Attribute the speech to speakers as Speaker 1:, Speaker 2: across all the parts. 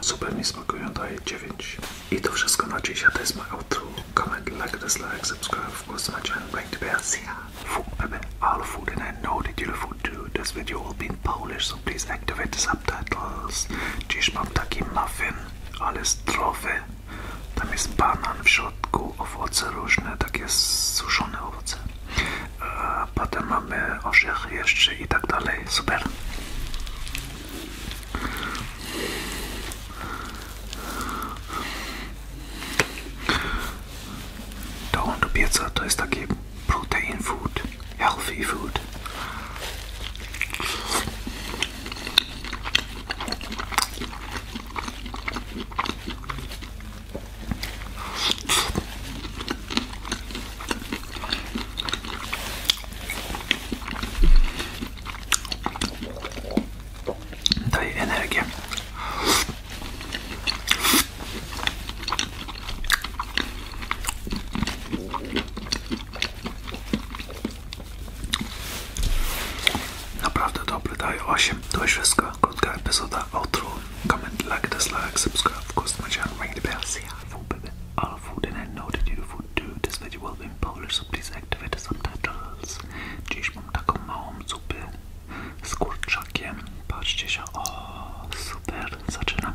Speaker 1: Super mi smakują, daję dziewięć. I to wszystko na dziś, a to jest moje outro. Comment, like, dislike, subscribe, of course my channel, ring the bell, see ya. Food, all food and I know that you love food too. This video will be in Polish, so please activate subtitles. Dziś mam taki muffin, ale zdrowy. Tam jest banan w środku, owoce różne, takie suszone owoce. Potem mamy orzech jeszcze i tak dalej. Super. Dołącz pieca to jest taki protein food, healthy food. Daje energię. Naprawdę dobre, daje 8. To już Hvala, kotka epizoda, outro. Comment, like, dislike, subscribe, of course, to my channel, ring the bell, say hi, food, baby. All food, and I know that you food too. This video will be Polish, please activate the subtitles. Dziś mam taką małą zupę z kurczakiem. Patrzcie się, o, super, zaczynam.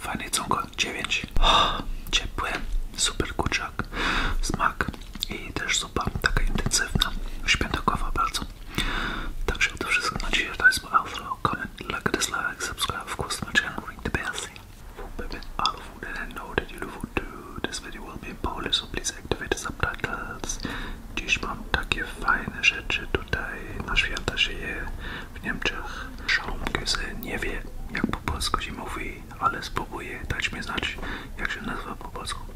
Speaker 1: Fajny cunko, 9. ciepły, super kurczak, smak i też zupa taka intensywna, śmietakowa bardzo pracy. Także to wszystko na dzisiaj. To jest mój outro. Comment, like, dislike, subscribe, of course, to my channel, ring the bell, see for baby out of food and I know that you love food too. This video will subtitles. Dziś mam takie fajne rzeczy tutaj na święta żyję w Niemczech. Schaumküsse nie wie jak po polsku się mówi, ale spróbuję dać mi znać jak się nazywa po polsku.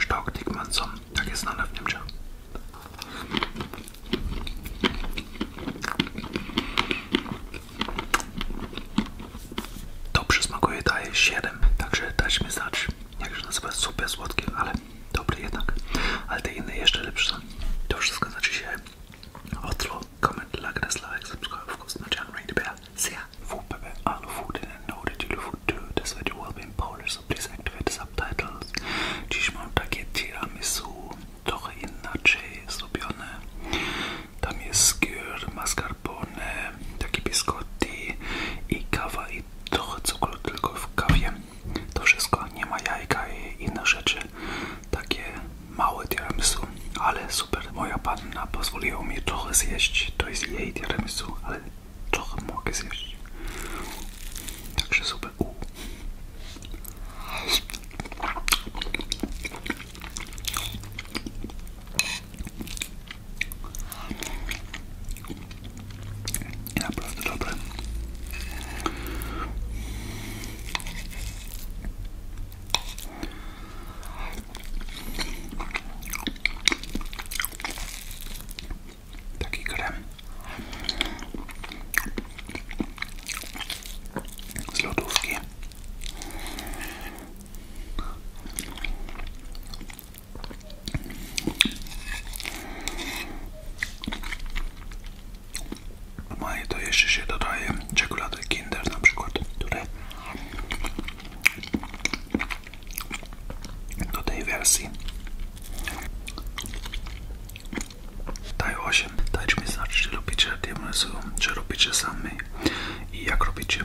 Speaker 1: Stockdickmann są takie znane w Niemczech. Dobrze smakuje, daje 7, także dać mi znać jak się nazywa, super słodki, ale dobry jednak, ale te inne jeszcze lepsze. To wszystko za dzisiaj. się. comment, like, dislike, subscribe, of course, no channel, ring the bell. See ya! Food, baby, I love food and I know that you love food too. That's why you will be in Polish, so please activate the subtitles. takie tiramisu, trochę inaczej zrobione. Tam jest skyr, mascarpone, takie biskotti i kawa i trochę cukru tylko w kawie. To wszystko, nie ma jajka i inne rzeczy. Takie małe tiramisu, ale super. Moja panna pozwoliła mi trochę zjeść, to jest jej tiramisu, ale trochę mogę zjeść. Także super. U. I naprawdę dobre. Taki krem z lodówki no to jeszcze się dodaje czekolady Kinder na przykład, które do tej wersji daj 8, dajcie mi znać czy lubicie diamensu, czy robicie sami i jak robicie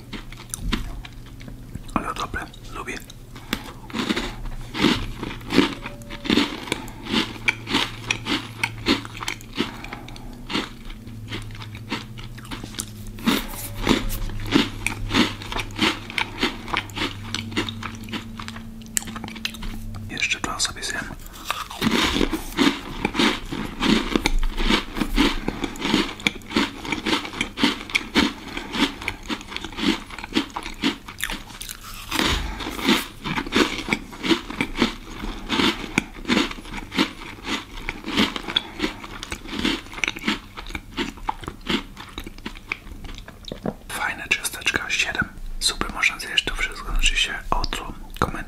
Speaker 1: Ale dobre, lubię. Jeszcze to sobie zjem. Fajne cząsteczka 7. Super, można zjeść to wszystko, znaczy się ocą. Koment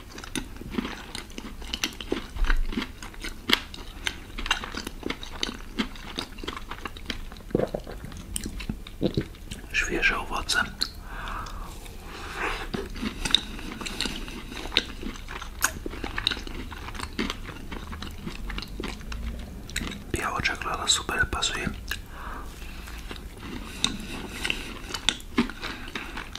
Speaker 1: Świeże owoce. Biała czekolada super pasuje.